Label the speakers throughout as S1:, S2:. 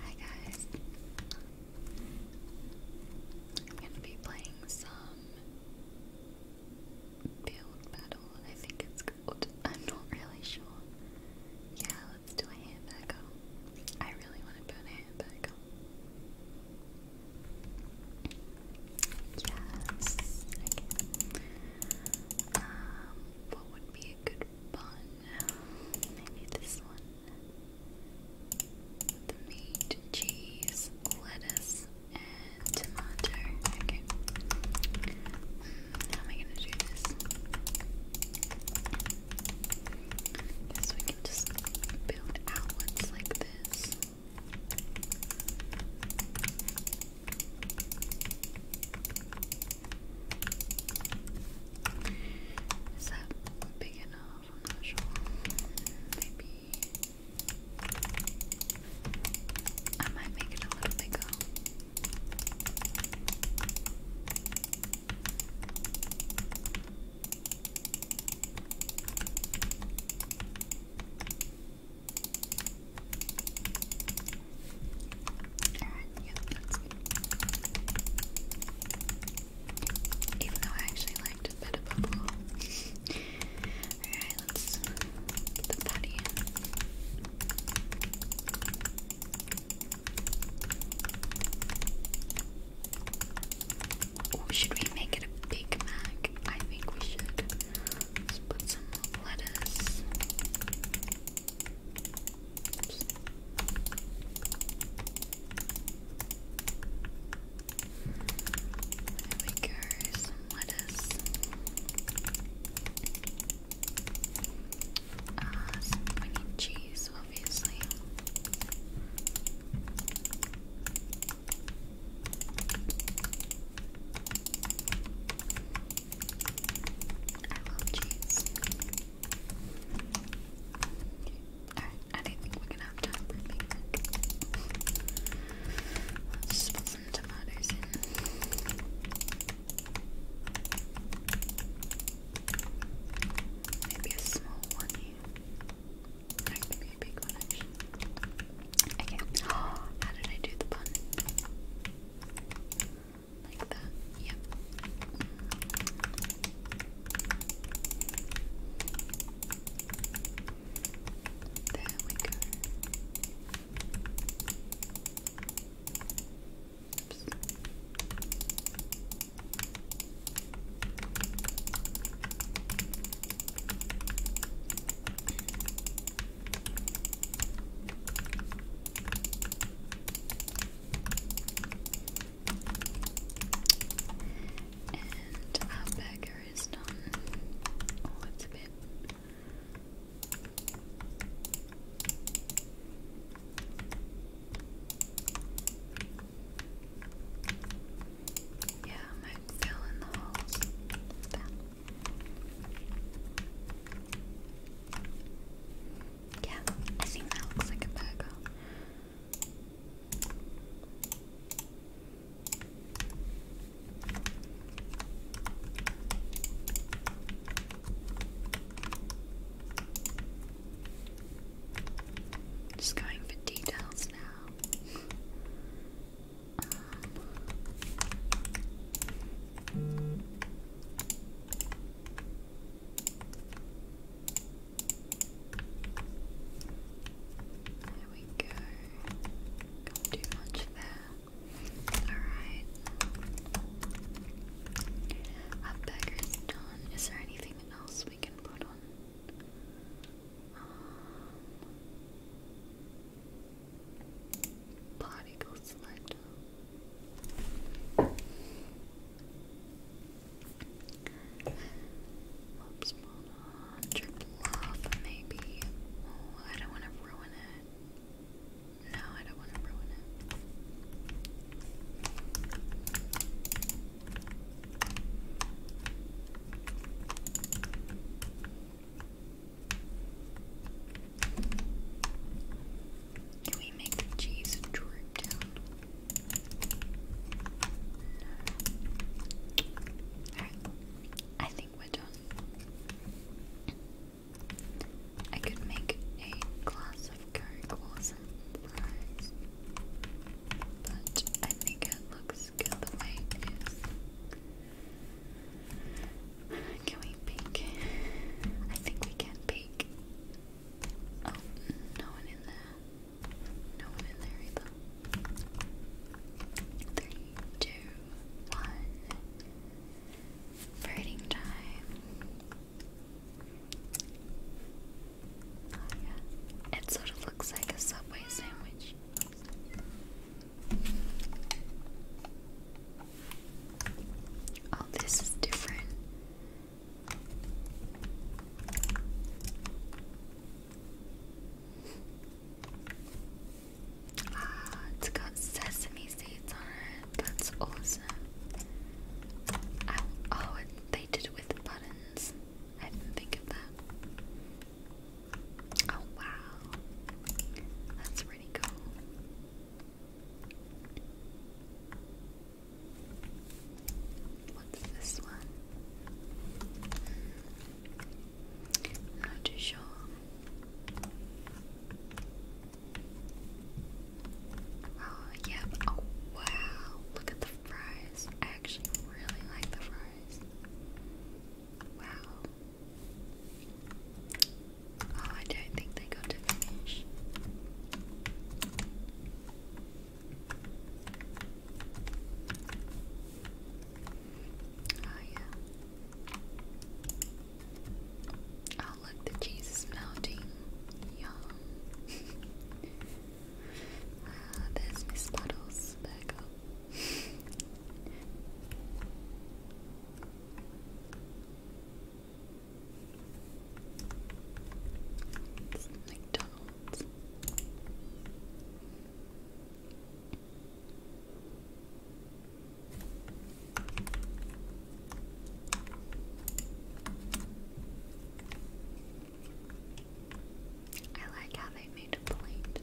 S1: Hi guys. I'm gonna be playing some build battle. I think it's called. I'm not really sure. Yeah, let's do a hand I really want to build a hand Yes. Um, what would be a good bun? Maybe this one. The meat, cheese, lettuce, and tomato. Okay. Hmm, how am I gonna do this? Guess we just build outlets like this. Is that big enough? I'm not sure. Maybe I might make it a little bigger. Even though I actually liked it Alright, let's get the patty Or should we make it a Big Mac? I think we should. put some lettuce. There we go, some lettuce. Uh, some, we cheese, obviously. I love cheese. Alright, I didn't think we're gonna have time for a Let's put some tomatoes in. Maybe a small one here. a big one actually. Okay. How did I do the bun? Like that. Yep. There we go. Oops. And our burger is done. Oh, it's a bit. Yeah, I might fill the holes. Yeah, I think that looks like a burger. Just going for details now. Um, there we go. can much there. Alright. Our burger is done. Is there anything else we can put on? Um, Particle selector. Oops, maybe. I don't want to ruin it. No, I don't want to ruin it. Can we make the cheese droop down? I think we're done. I could make a glass of Coke or fries. But I think it looks good the way it is. Can we peek? I think we can peek. Oh, no one in there. No one in there either. Three, two, one. Birding time. Oh, it sort of looks like a Subway sandwich. Oh, this is different. Ah, it's got sesame seeds on it. That's awesome. oh, they did it with buttons. I didn't think of that. Oh wow, that's pretty cool. What's this one? Not too sure. Oh, yeah. Oh, wow. Look at the fries. I actually really like the fries. Wow. Oh, I don't think they got to finish. Oh, yeah. Oh, look, the cheese is melting. Yum. Ah, there's Miss Puddles' burger. It's McDonald's. I like how they made a plate.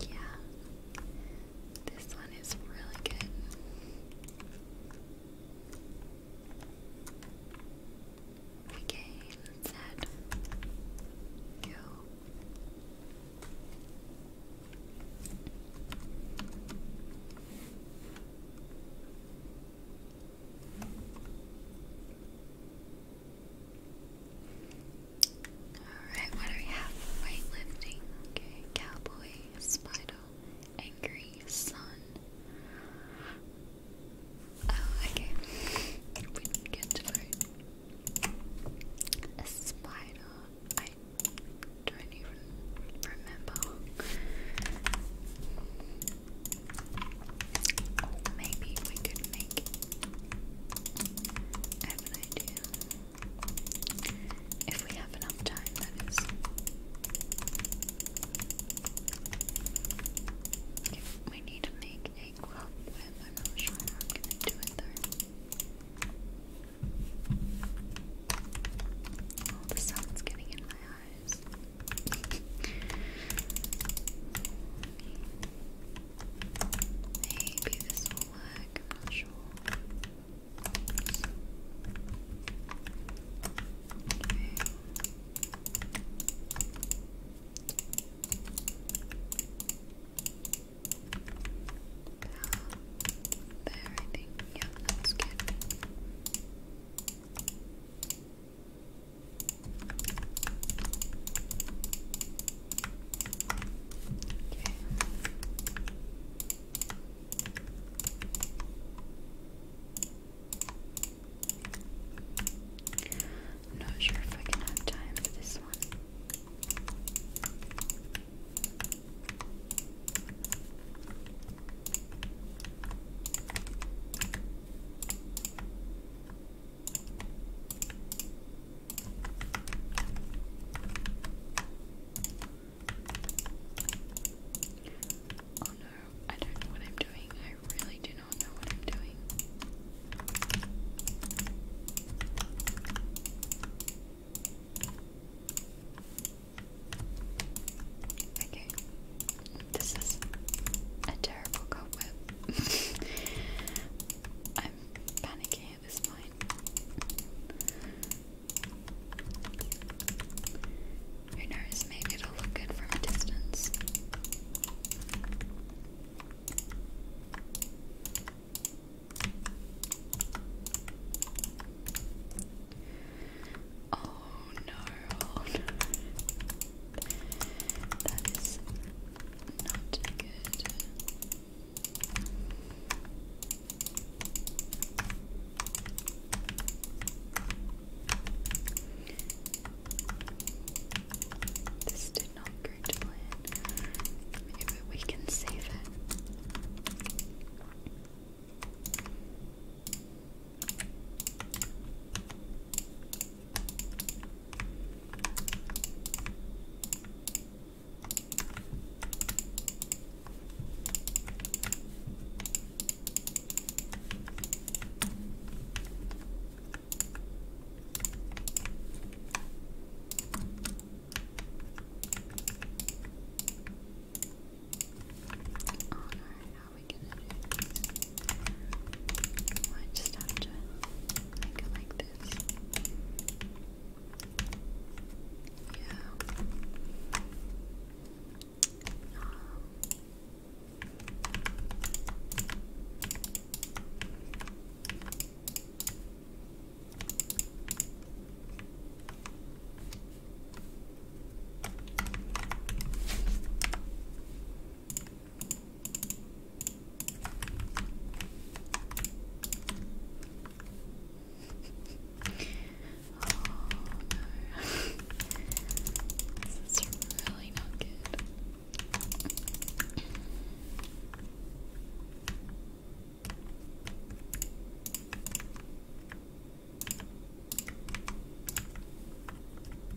S1: Yeah. This one is really good. Regain, set, go. Alright, what do we have? Weightlifting, cowboy, spider, angry, sun. Oh, okay. we did vote. A spider. I don't even remember. maybe we could make have an If we have enough time, that is. we need to make a quilt I'm not sure do it though. the sun's getting in my eyes. Maybe this will work, there, I think. Yeah, that's good. Okay. i not sure if I can have time for this one. Oh no, I don't know what I'm doing. I really do not know what I'm doing. Okay, this is a terrible cobweb. I'm panicking at this point. Who knows, maybe it'll look good from a distance. Oh no, oh, that is not good. This did not go to plan. Maybe we can save it. Alright, how are we gonna do this? I just have to make it like this. Yeah no. Oh, this is really not good.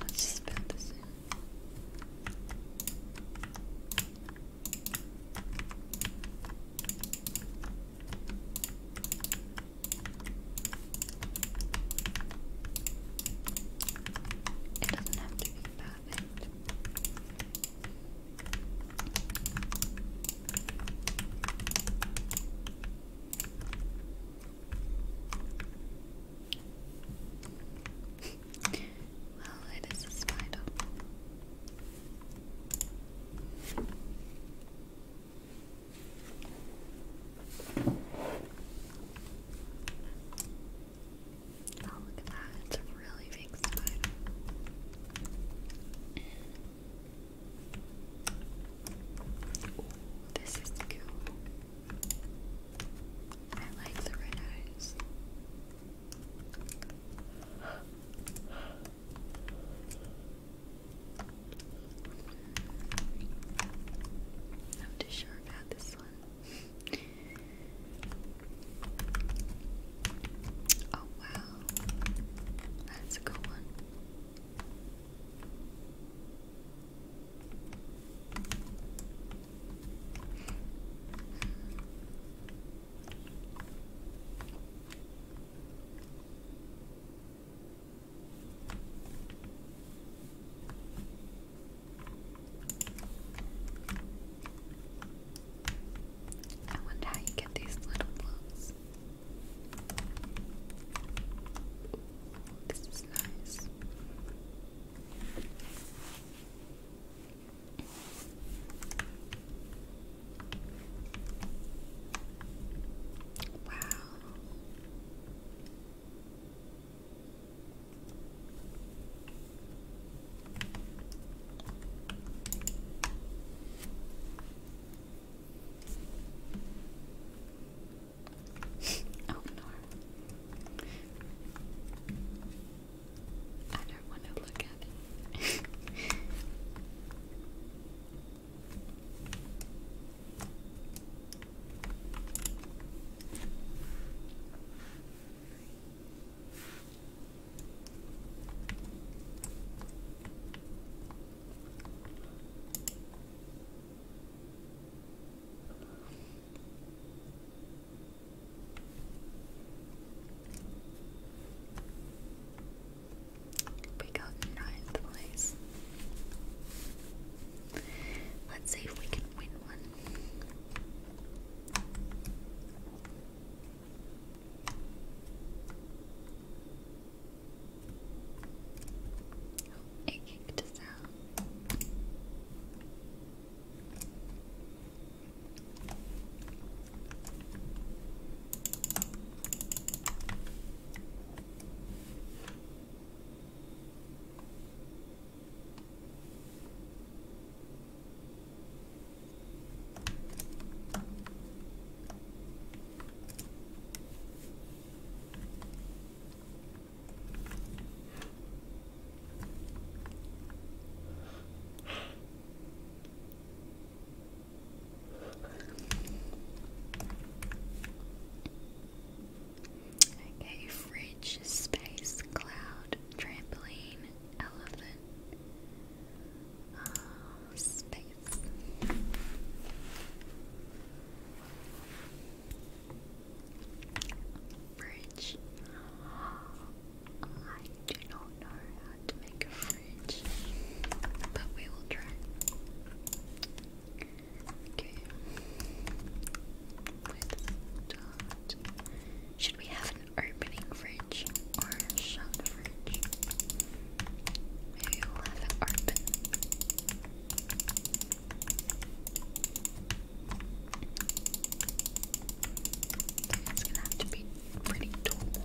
S1: Let's just build this It doesn't have to be perfect well, it is a spider. Oh, look at that. It's a really big spider. this is cool. I like the red eyes. I'm too sure about this one. Oh wow, that's a good one. I wonder how you get these little blocks. This is nice. Wow oh no. I don't want to look at it. We got ninth place. Let's see if we can win one. Oh, it kicked us out. Okay, fridge space cloud trampoline, elephant, um, space. Fridge. I do not know how to make a fridge, but we will try. Should we have an opening fridge or a shut fridge? we'll have it open. It's gonna have to be pretty tall. there.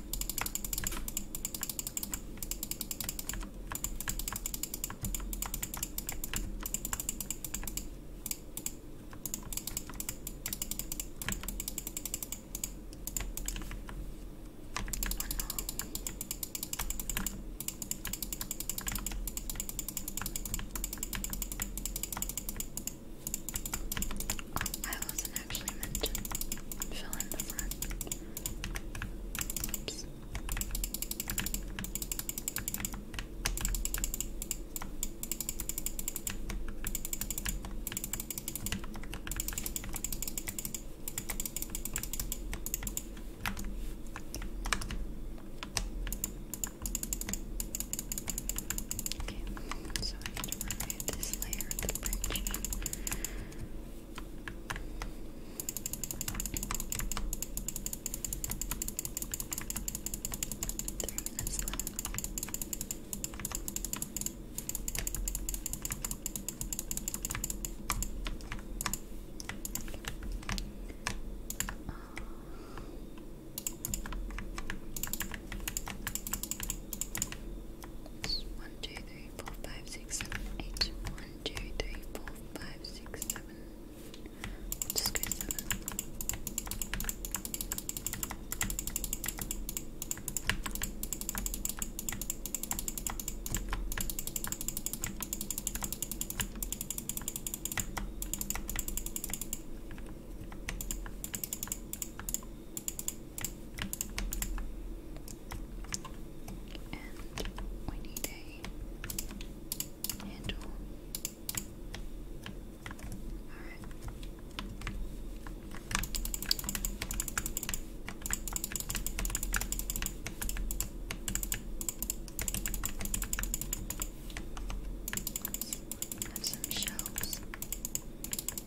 S1: I wasn't actually meant fill in the front. Okay, so I need to remove this layer of the bridge. Three minutes uh, One, two, three, three, four, five, six, seven, eight. One, two, three, four, five, six, seven. I'll just go seven. And we need a handle. Alright. Have some shelves. Um, melon,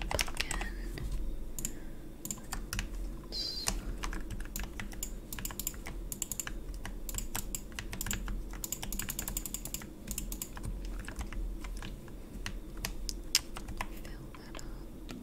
S1: pumpkin. Fill that up. Um,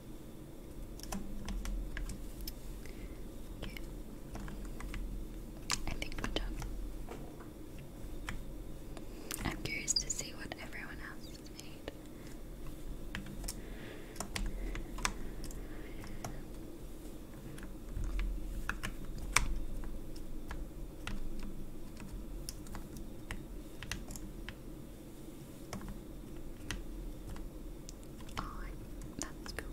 S1: I think we're done. I'm curious to see what everyone else has made. Oh, that's cool.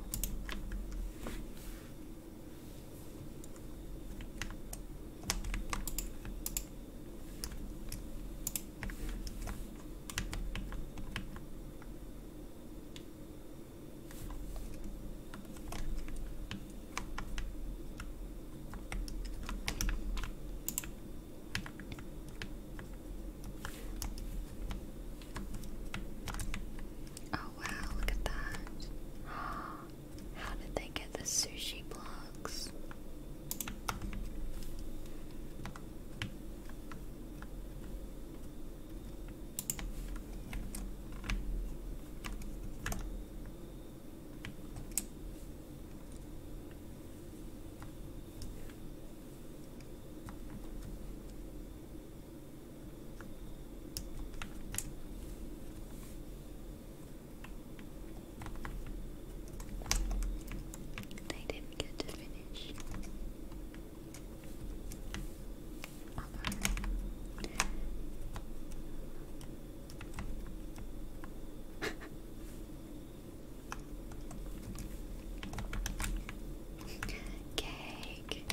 S1: Oh wow, look at that. How did they get the sushi blocks? I didn't get to finish. Cake.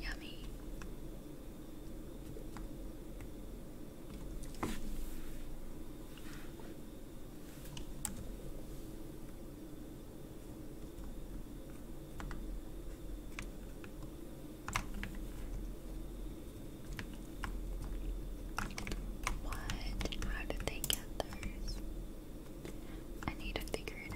S1: Yummy. What? How did they get theirs? I need to figure it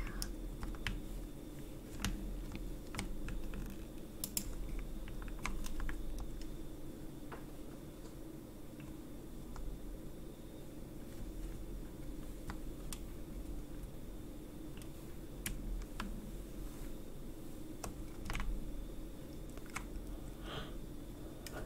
S1: out.